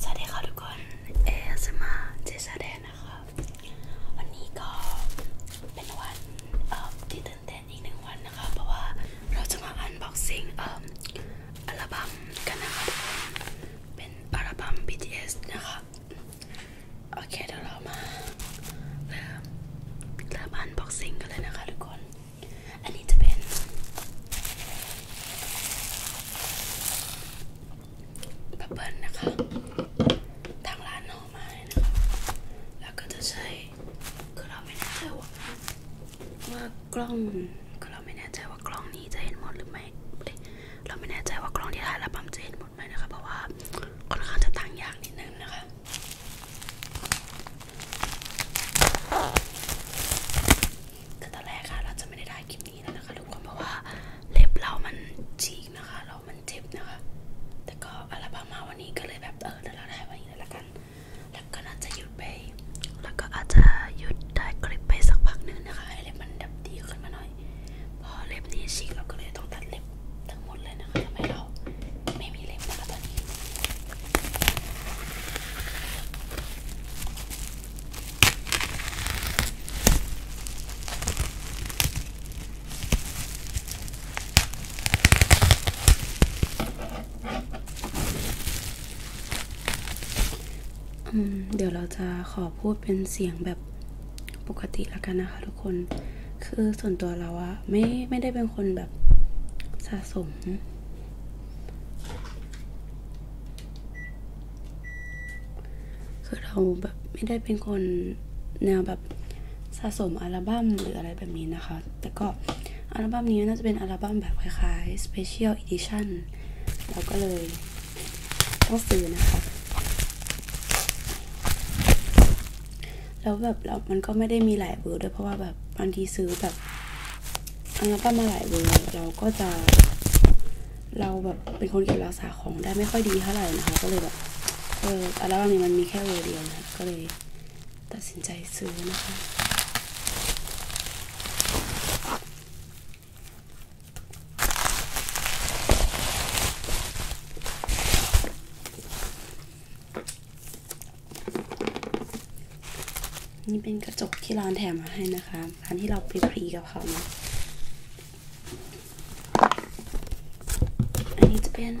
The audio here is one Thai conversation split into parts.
สวัสดีค่ะทุกคน เอสมาเจสแดนนะคะวันนี้ก็เป็นวันที่ตื่นเต้นอีกหนึ่งวันนะคะเพราะว่าเราจะมาอันบ็อกซิ่งอัลบั้มกันนะคะทุกคนเป็นอัลบั้ม BTS นะคะโอเคเดี๋ยวเรามาเริ่มอันบ็อกซิ่งกันเลยนะคะทุกคนอันนี้จะเป็นบับเบิ้ลนะคะทางร้านนอมาเลยนะคะแล้วก็จะใช้คือเราไม่แน่ใจว่าว่ากล้องคือเราไม่แน่ใจว่ากล้องนี้จะเห็นหมดหรือไม่เราไม่แน่ใจว่ากล้องที่ถ่ายระบำจะเห็นหมดไหมนะคะเพราะว่าค่อนข้างจะต่างอย่างนิดนึงนะคะคือตอนแรกค่ะเราจะไม่ได้ถ่ายคลิปนี้แล้วนะคะทุกคนเพราะว่าเล็บเรามันฉีกนะคะ เรา มันเจ็บนะคะ แต่ก็อัลบั้มมาวันนี้ก็เลยแบบเออเดี๋ยวเราถ่ายวันนี้เลยละกัน แล้วก็น่าจะหยุดไป แล้วก็อาจจะหยุดถ่ายคลิปไปสักพักหนึ่งนะคะให้เล็บมันดับดีขึ้นมาหน่อย พอเล็บนี้ฉีกเราก็เลยต้องตัดเล็บทั้งหมดเลยนะคะทำให้เราไม่มีเล็บนะคะตอนนี้เดี๋ยวเราจะขอพูดเป็นเสียงแบบปกติแล้วกันนะคะทุกคน คือส่วนตัวเราอะไม่ไม่ได้เป็นคนแบบสะสมคือเราแบบไม่ได้เป็นคนแนวแบบสะสมอัลบั้มหรืออะไรแบบนี้นะคะ แต่ก็อัลบั้มนี้น่าจะเป็นอัลบั้มแบบคล้ายๆ Special Edition เราก็เลยต้องซื้อนะคะ แล้วแบบเรามันก็ไม่ได้มีหลายเบอร์ด้วยเพราะว่าแบบบางทีซื้อแบบอันนั้นก็มาหลายเวเราก็จะเราแบบเป็นคนเก็บรักษาของได้ไม่ค่อยดีเท่าไหร่นะคะก็เลยแบบเอออัลบั้มนี้มันมีแค่เวเดียวนะก็เลยตัดสินใจซื้อนะคะนี่เป็นกระจกที่ร้านแถมมาให้นะคะร้นที่เราไปพรีกับเขานะอันนี้จะเป็น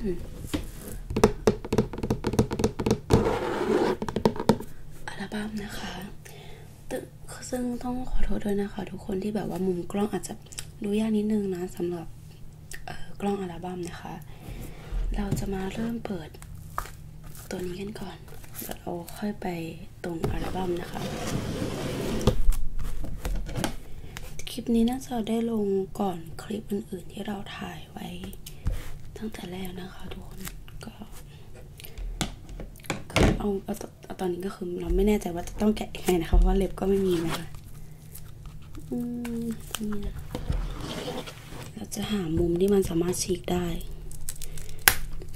อัลบั้มนะคะ ซึ่งต้องขอโทษด้วยนะคะ ทุกคนที่แบบว่า มุมกล้องอาจจะดูยากนิดนึงนะสำหรับกล้องอัลบั้มนะคะ เราจะมาเริ่มเปิดตัวนี้กันก่อนอนแล้เราค่อยไปตรงอัลบั้มนะคะ คลิปนี้น่าจะได้ลงก่อนคลิปอื่นๆที่เราถ่ายไว้ตั้งแต่แรกนะคะทุกคนก็เอาเอาเอาตอนนี้ก็คือเราไม่แน่ใจว่าจะต้องแกะยังไงนะคะ เพราะว่าเล็บก็ไม่มีนะคะ อืมนี่เราจะหามุมที่มันสามารถฉีกได้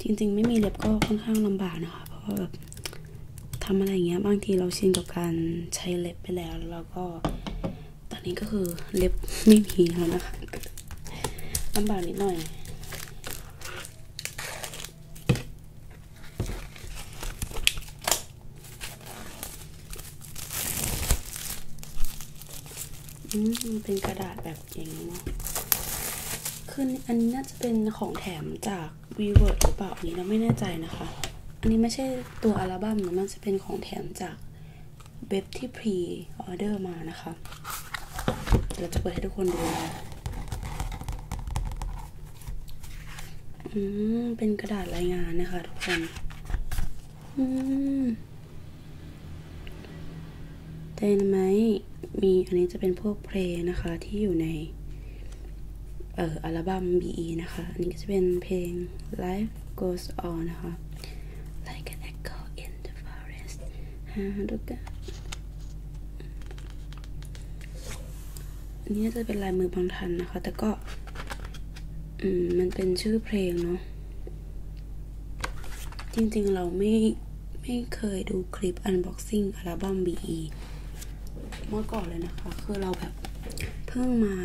จริงๆไม่มีเล็บก็ค่อนข้างลำบากนะคะ เพราะว่าแบบทำอะไรอย่างเงี้ยบางทีเราชินกับการใช้เล็บไปแล้ว แล้วเราก็ตอนนี้ก็คือเล็บไม่มีแล้วนะคะลำบากนิดหน่อย เป็นกระดาษแบบแบบอย่างนี้เนาะคืออันนี้น่าจะเป็นของแถมจากวีเวิร์ดหรือเปล่าอันนี้เราไม่แน่ใจนะคะ อันนี้ไม่ใช่ตัวอัลบั้มนะมันจะเป็นของแถมจากเบบที่พรีออเดอร์มานะคะเราจะเปิดให้ทุกคนดูนะอืม เป็นกระดาษรายงานนะคะทุกคน อืมเต้นไหมมีอันนี้จะเป็นพวกเพลงนะคะที่อยู่ในเอ่ออัลบั้ม BE นะคะ อันนี้ก็จะเป็นเพลง Life Goes On นะคะ Like an echo in the forest ฮะดูกันอันนี้จะเป็นลายมือบางทันนะคะ แต่ก็มมันเป็นชื่อเพลงเนาะ จริงๆ เราไม่ไม่เคยดูคลิปอันบ็อกซิ่งอัลบั้ม b ีเมื่อก่อนเลยนะคะคือเราแบบเพิ่งมา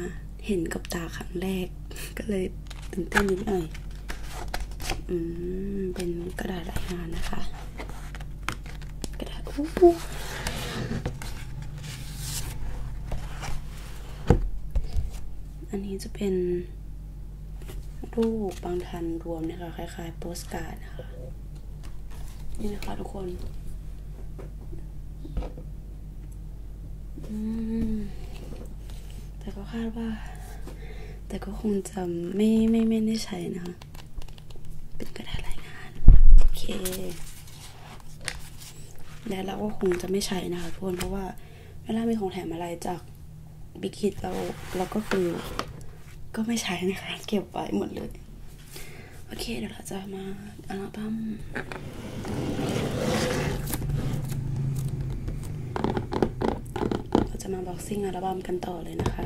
เห็นกับตาครั้งแรก ก็เลยตื่นเต้นนิดหน่อย อืมเป็นกระดาษไรายงานนะคะ กระดาษอู้อันนี้จะเป็นรูปบางทันรวมนะคะ คล้ายๆโปสการ์ดนะคะ นี่นะคะทุกคน แต่ก็คาดว่า แต่ก็คงจะไม่ไม่ไม่ได้ใช้นะคะ เป็นกระดาษรายงาน โอเค และเราก็คงจะไม่ใช้นะคะทุกคนเพราะว่าเวลามีของแถมอะไรจากบิคิดเราเราก็คือก็ไม่ใช้นะคะเก็บไว้หมดเลย โอเคเดี๋ยวเราจะมาอัลบั้มเราจะมาบ็อกซิ่งอัลบั้มกันต่อเลยนะคะ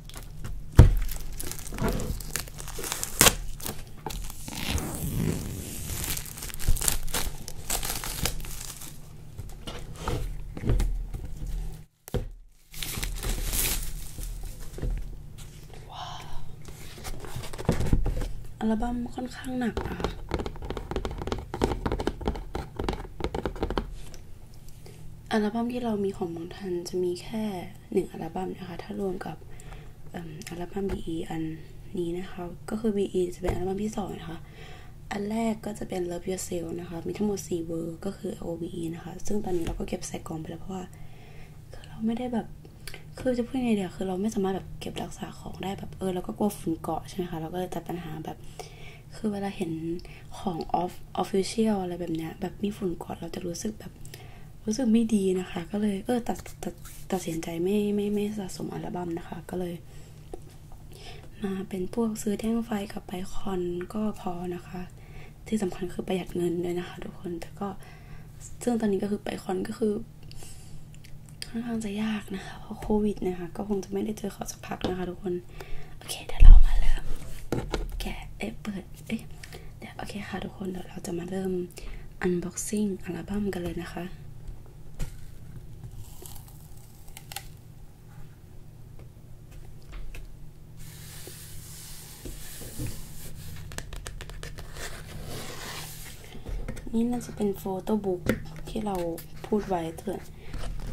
อัลบั้มค่อนข้างหนักอ่ะ อัลบั้มที่เรามีของบางทันจะมีแค่่1อัลบั้มนะคะ ถ้ารวมกับอัลบั้ม BE อันนี้นะคะ ก็คือ BE จะเป็นอัลบั้มที่ 2 นะคะ อันแรกก็จะเป็น Love Yourself นะคะ มีทั้งหมด4เวอร์ก็คือ OBE นะคะ ซึ่งตอนนี้เราก็เก็บใส่กล่องไปแล้ว เพราะว่า เราไม่ได้แบบ คือจะพูดยังไงเดี๋ยว คือเราไม่สามารถแบบเก็บรักษาของได้แบบเออเราก็กลัวฝุ่นเกาะใช่ไหมคะ เราก็เลยตัดปัญหาแบบ คือเวลาเห็นของออฟออฟฟิเชียลอะไรแบบเนี้ย แบบมีฝุ่นเกาะเราจะรู้สึกแบบรู้สึกไม่ดีนะคะ ก็เลยเออตัดตัดตัดสินใจไม่ไม่ไม่สะสมอัลบั้มนะคะ ก็เลย มาเป็นพวกซื้อแท่งไฟกับไปคอนก็พอนะคะ ที่สำคัญคือประหยัดเงินด้วยนะคะทุกคนแต่ก็ซึ่งตอนนี้ก็คือไปคอนก็คือค่อนข้างจะยากนะคะเพราะโควิดนะคะ ก็คงจะไม่ได้เจอขอสักพักนะคะทุกคนโอเคเดี๋ยวเรามาเริ่มแกะเอเปิดเอ๊ะเดี๋ยวโอเคค่ะทุกคนเดี๋ยวเราจะมาเริ่ม unboxing อัลบั้มกันเลยนะคะ นี่น่าจะเป็นโฟโต้บุ๊กที่เราพูดไว้เถื่อน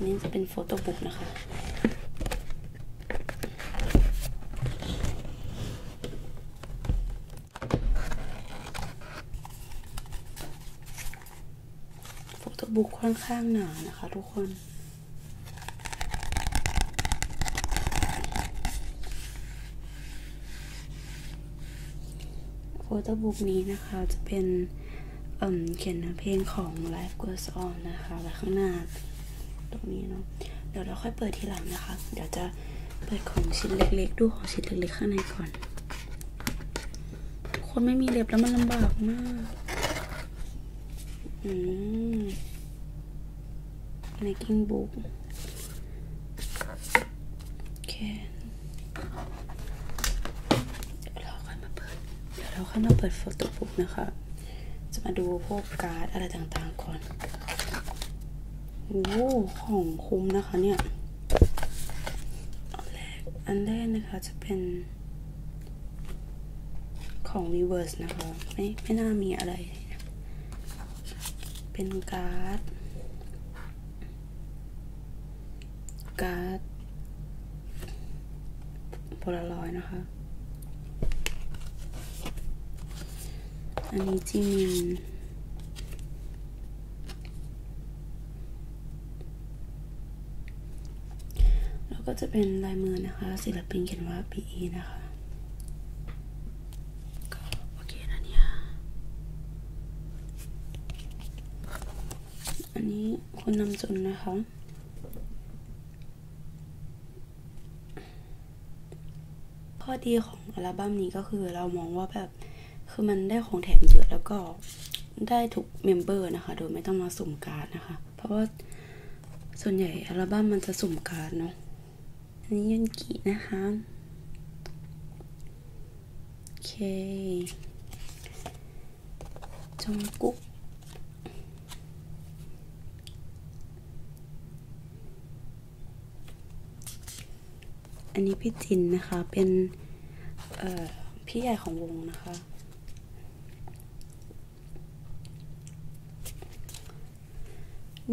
นี่จะเป็นโฟโต้บุ๊กนะคะโฟโต้บุ๊กค่อนข้างหนานะคะทุกคน โฟโต้บุ๊กนี้นะคะจะเป็นเขียนเพลงของ Life Goes On นะคะแว้ข้างหน้าตรงนี้เนาะเดี๋ยวเราค่อยเปิดทีหลังนะคะ เดี๋ยวจะเปิดของชิ้นเล็กๆดูของชิ้นเล็กๆข้างในก่อนคนไม่มีเล็บแล้วมันลำบากมากอืมกิ้งบุ book โอเคเราค่อยมาเปิด เดี๋ยวเราค่อยมาเปิดโฟโต้บุ๊กนะคะ จะมาดูพวกการ์ดอะไรต่างๆก่อนโอ้ของคุ้มนะคะเนี่ยอันแรกอันแรกนะคะจะเป็นของวีเวิร์สนะคะ ไม่ ไม่น่ามีอะไร เป็นการ์ด การ์ดโพลารอยนะคะอันนี้จีเนีนแล้วก็จะเป็นลายมือนะคะศิลปินเขียนว่า p ีนะคะอันนี้คุณนำจนนะคะข้อดีของอัลบั้มนี้ก็คือเรามองว่าแบบ คือมันได้ของแถมเยอะแล้วก็ได้ทุกเมมเบอร์นะคะ โดยไม่ต้องมาสุ่มการนะคะ เพราะว่าส่วนใหญ่อัลบั้มมันจะสุ่มการเนาะอันนี้ยันกินะคะ โอเคจงกุ๊กอันนี้พี่จินนะคะเป็นพี่ใหญ่ของวงนะคะ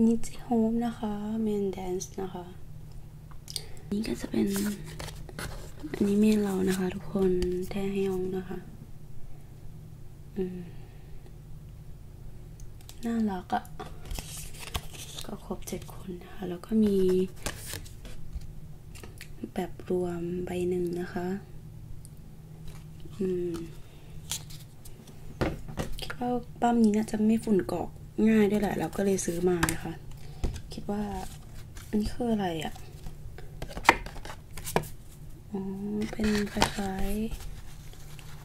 นี่จิโฮมนะคะเมนแดนซ์นะคะนี่ก็จะเป็นอันนี้เมนเรานะคะทุกคนแทฮยองนะคะอืมน่ารักอะ่ะก็ครบเจ็ดคนนะะแล้วก็มีแบบรวมใบหนึ่งนะคะ อืมคิดว่าปั้มนี้น่าจะไม่ฝุ่นเกาะง่ายด้วยแหละ เราก็เลยซื้อมานะคะ คิดว่าอันนี้คืออะไรอ่ะ อ๋อ เป็นคล้ายค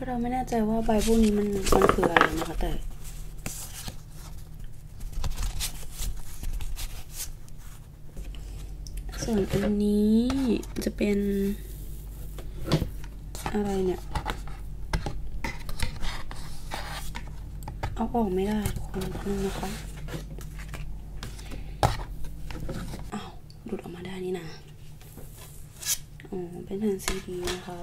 ือเราไม่แน่ใจว่าใบพวกนี้มันมันคืออะไรนะคะแต่ส่วนอันนี้จะเป็นอะไรเนี่ย เอาออกไม่ได้ ทุกคนนึงนะคะอา้าวหลดออกมาได้นี่นะอ๋อเป็นแผ่นซีดีนะคะ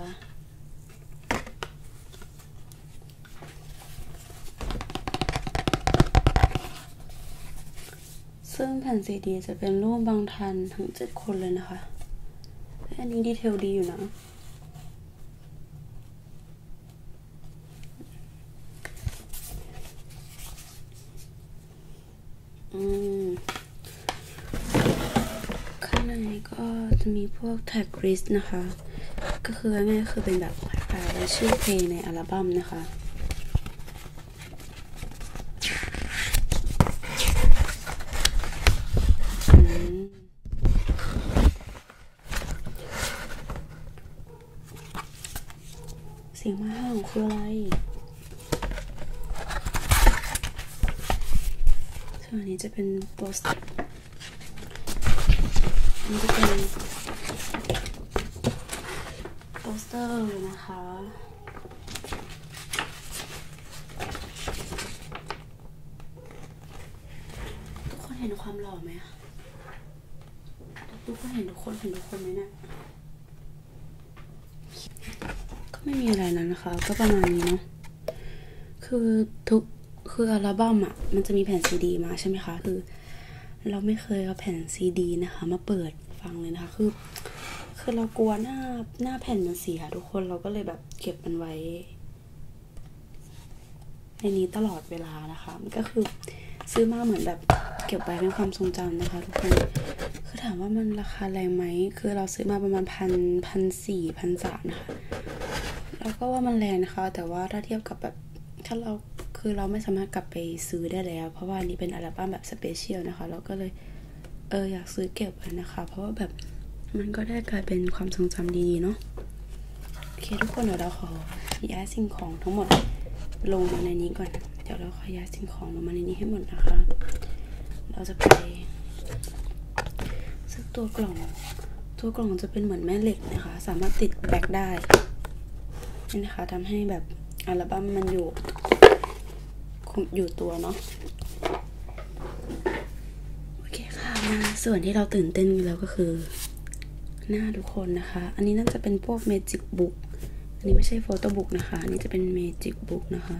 ซึ่งแผ่นซีดีจะเป็นรูปบางทันทั้งเจ็ดคนเลยนะคะอันนี้ดีเทลดีอยู่นะ อืม ข้างในก็จะมีพวกแท็กริสนะคะก็คือง่คือเป็นแบบชื่อเพลงในอัลบั้มนะคะ เสียงมาห้างคืออะไรส่วนนี้จะเป็นโปสเตอร์นี้จะเป็นโปสเตอร์นะคะ ทุกคนเห็นความหล่อไหมทุกคนเห็นทุกคนเห็นทุกคนไหมเนี่ยก็ไม่มีอะไรนั้นนะคะ ก็ประมาณนี้เนาะคือทุก คืออัลบั้มอ่ะมันจะมีแผ่นซีดีมา ใช่ไหมคะคือเราไม่เคยเอาแผ่นซีดีนะคะมาเปิดฟังเลยนะคะ คือ คือเรากลัวหน้าหน้าแผ่นมันเสียทุกคน เราก็เลยแบบเก็บมันไว้ในนี้ตลอดเวลานะคะ มันก็คือซื้อมาเหมือนแบบเก็บไว้เป็นความทรงจำนะคะ ทุกคน คือถามว่ามันราคาแรงไหมคือเราซื้อมาประมาณพันพันสี่พันสามนะคะเราก็ว่ามันแรงนะคะ แต่ว่าถ้าเทียบกับแบบถ้าเราคือเราไม่สามารถกลับไปซื้อได้แล้วเพราะว่านี้เป็นอัลบั้มแบบสเปเชียลนะคะ เราก็เลยเอออยากซื้อเก็บไว้นะคะ เพราะว่าแบบมันก็ได้กลายเป็นความทรงจำดีๆเนาะโอเคทุกคนเดี๋ยวเราขอย้ายสิ่งของทั้งหมดลงมาในนี้ก่อนเดี๋ยวเราขอย้ายสิ่งของลงมาในนี้ให้หมดนะคะเราจะไปซื้อตัวกล่องตัวกล่องจะเป็นเหมือนแม่เหล็กล็กนะคะสามารถติดแบกได้นี่นะคะทำให้แบบอัลบั้มมันอยู่อยู่ตัวเนาะโอเคค่ะมาส่วนที่เราตื่นเต้นอยู่แล้วก็คือหน้าทุกคนนะคะ อันนี้น่าจะเป็นพวกเมจิกบุ๊กอันนี้ไม่ใช่โฟโต้บุ๊กนะคะ อันนี้จะเป็นเมจิกบุ๊กนะคะ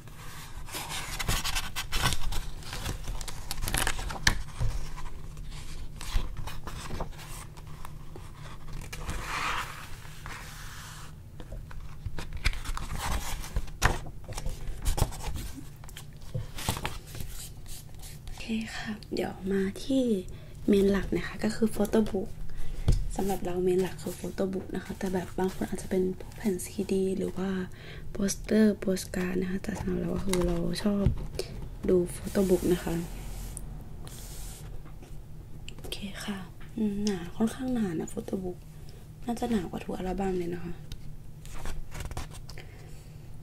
โอเคค่ะเดี๋ยวมาที่เมนหลักนะคะก็คือโฟโต้บุ๊กสำหรับเราเมนหลักคือโฟโต้บุ๊กนะคะ แต่แบบบางคนอาจจะเป็นพวกแผ่นซีดีหรือว่าโปสเตอร์โปสการ์ดนะคะแต่สำหรับเราคือเราชอบดูโฟโต้บุ๊กนะคะโอเคค่ะหนาค่อนข้างหนานะโฟโต้บุ๊กน่าจะหนากว่าทุกอัลบั้มเลยนะคะ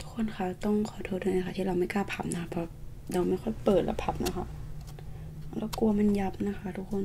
ทุกคนคะต้องขอโทษด้วยนะคะ ที่เราไม่กล้าพับนะคะเพราะเราไม่ค่อยเปิดและพับนะคะแล้วกลัวมันยับนะคะ ทุกคน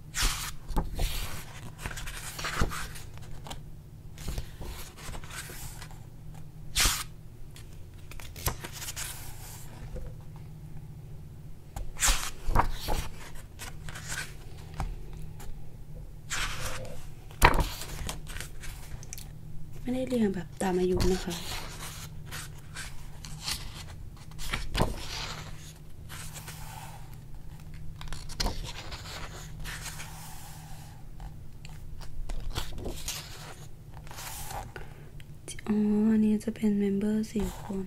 ไม่ได้เรียงแบบตามอายุนะคะอ๋ออันนี้จะเป็นเมมเบอร์สี่คน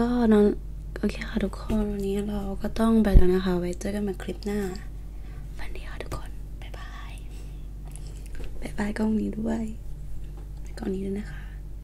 ก็น้องโอเคค่ะทุกคนวันนี้เราก็ต้องไปแล้วนะคะไว้เจอกันใหม่คลิปหน้าวันนีค่ะทุกคน บ๊ายบาย บ๊ายบายกล้องนี้ด้วยกล้องนี้ด้วยนะคะ